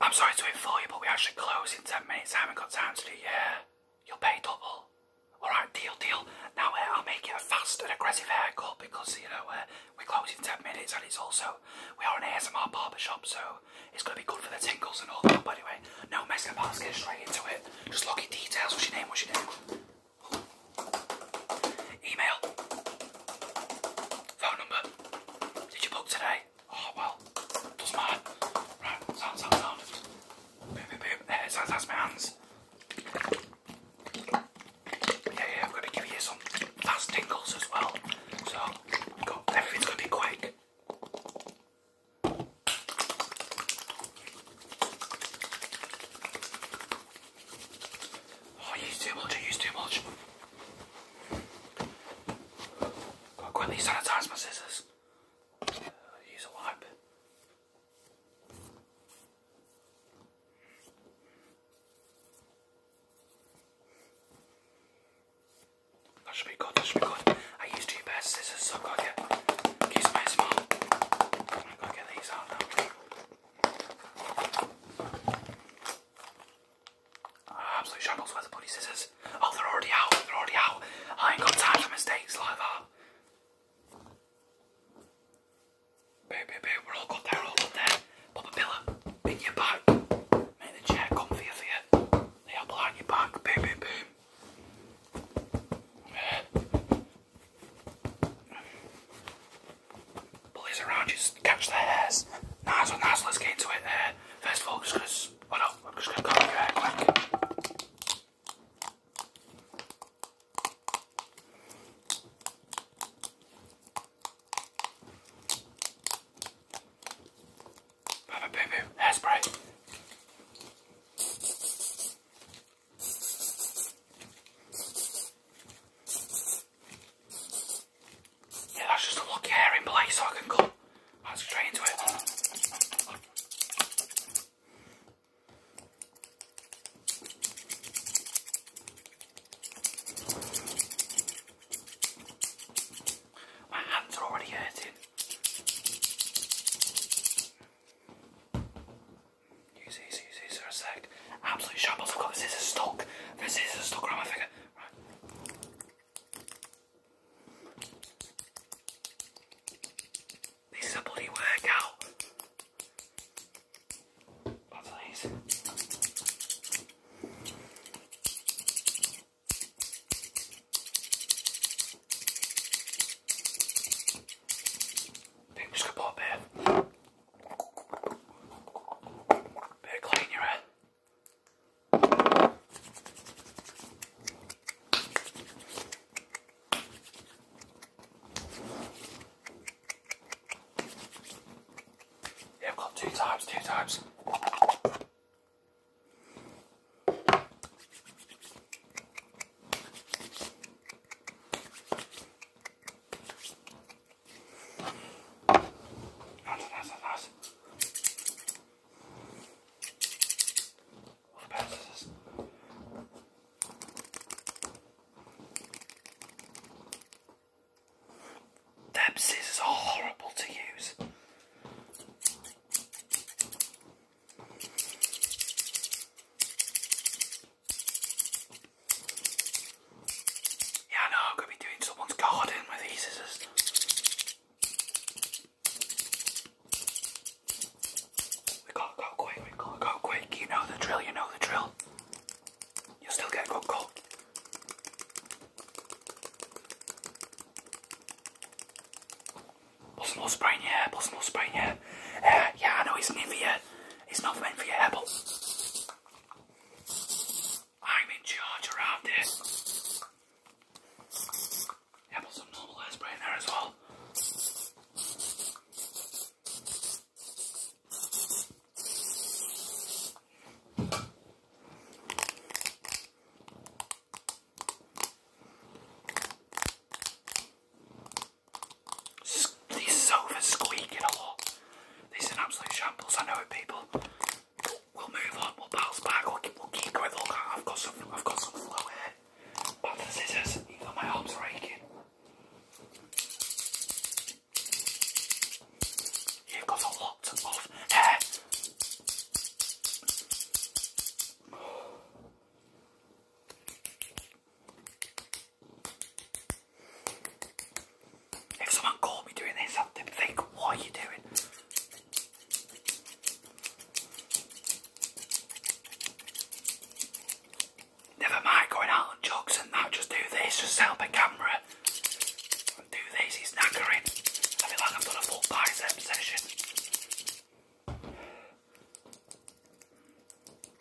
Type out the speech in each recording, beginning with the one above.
I'm sorry to inform you, but we actually close in 10 minutes. I haven't got time to do yeah. You'll pay double. Alright, deal, deal. Now uh, I'll make it a fast and aggressive haircut because, you know, uh, we close in 10 minutes and it's also, we are an ASMR barber shop, so it's going to be good for the tingles and all that. But anyway, no messing about, get straight into it. Just look at details. What's your name? What's your name? Email phone number. Did you book today? Oh well, doesn't matter. Right, sound, sound, Boom, boom, boom. that's my hands. Yeah, yeah, I'm gonna give you some fast tingles as well. So, everything's gonna be quick. Oh, use too much, use too much. Gotta quickly sanitize my scissors. Uh, use a wipe. That should be good, that should be good. I used two pairs of scissors, so i get, get some small. got to get these out Ah, absolute shambles. Where's the bloody scissors? Oh, they're already out. They're already out. I ain't got time for mistakes like that. Babe, babe, We're all good there. We're all good there. Pop a pillar. Bring your back. Make the chair comfier for you. They are behind your back. Boom, boom, boom. Police around just catch the hairs. Nice one, nice. Let's get into it. There. first of all, I'm just gonna. Oh no, I'm just gonna come your hair quick. boo boo hairspray. Yeah, that's just a lock here in place so I can cut right straight into it. My hands are already hurting. Use these, use these for a sec like absolute shambles. I've got this is a stock. This is a stock around my finger. Right. This is a bloody workout. That's nice. I think pop it. Better clean your head. Yeah, I've got two times, two times. Nice, nice, nice. What scissors are horrible to use. Yeah, I know, I'm going to be doing someone's garden with these We gotta go quick, we gotta go quick. You know the drill, you know the drill. you still get a good cut. more spray in your more spray in your uh, yeah, I know it's meant for your It's not meant for your hair, I'm in charge around this. Yeah, some normal hairspray in there as well. These sofas squeaking a lot. These are absolute shambles. I know it, people. We'll move on. We'll bounce back. We'll keep, going. Look, I've got some. I've got some flow here. Back to the scissors. Even my arms are aching. You've got a lot of hair. If someone caught me doing this, I'd think, what are you doing? Never mind going out on jogs and I'll just do this, just set up a camera do this, he's knackering. I feel like I've done a full bicep session.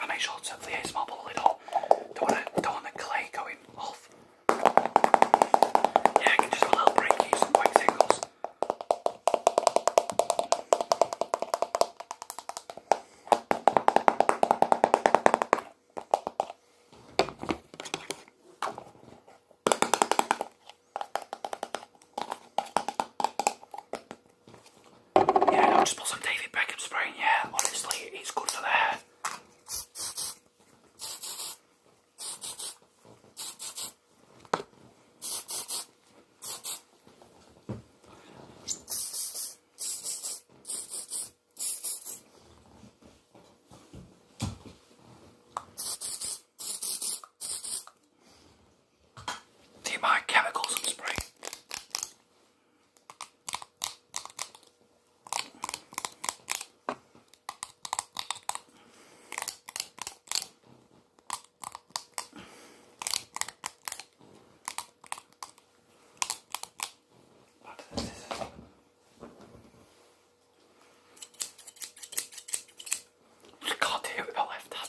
I make sure it's the ASMR bottle lid on. Don't want, the clay going off. Yeah, I can just have a little break here, some quick tingles. Yeah, I'll just put some David Beckham spray Yeah, honestly, it's good for the hair. See my chemicals and spray. But this I can't do it with a left hand.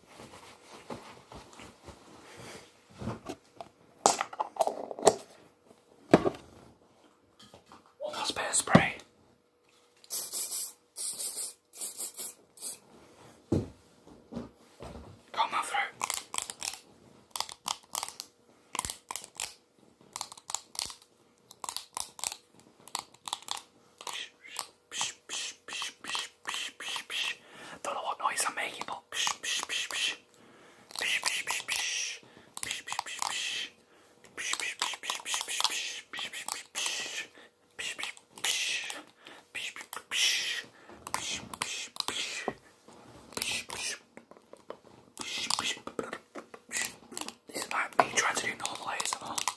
Almost bad spray. Come on through. Shh, shh psh, psh, psh, psh, psh, psh, psh. Don't know what noise I'm making, but psh, psh, psh, psh. Psh, psh, psh, psh. Psh, psh, psh, psh. Psh, psh, psh, psh, psh, psh, psh, psh, psh, psh, psh. Psh, psh, psh. Psh, psh, psh. Psh, psh, psh. Psh, psh. Psh, psh. This is not me trying to do normal ASMR.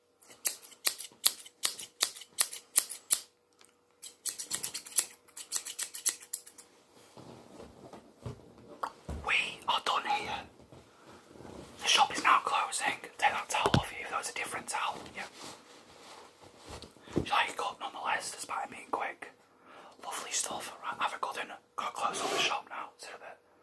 We are done here. The shop is now closing. Take that towel off you, even though it's a different towel. Yeah. She's like a cut nonetheless, despite being quick. Lovely stuff. Right, have a good dinner. Gotta close up the shop now. See a bit.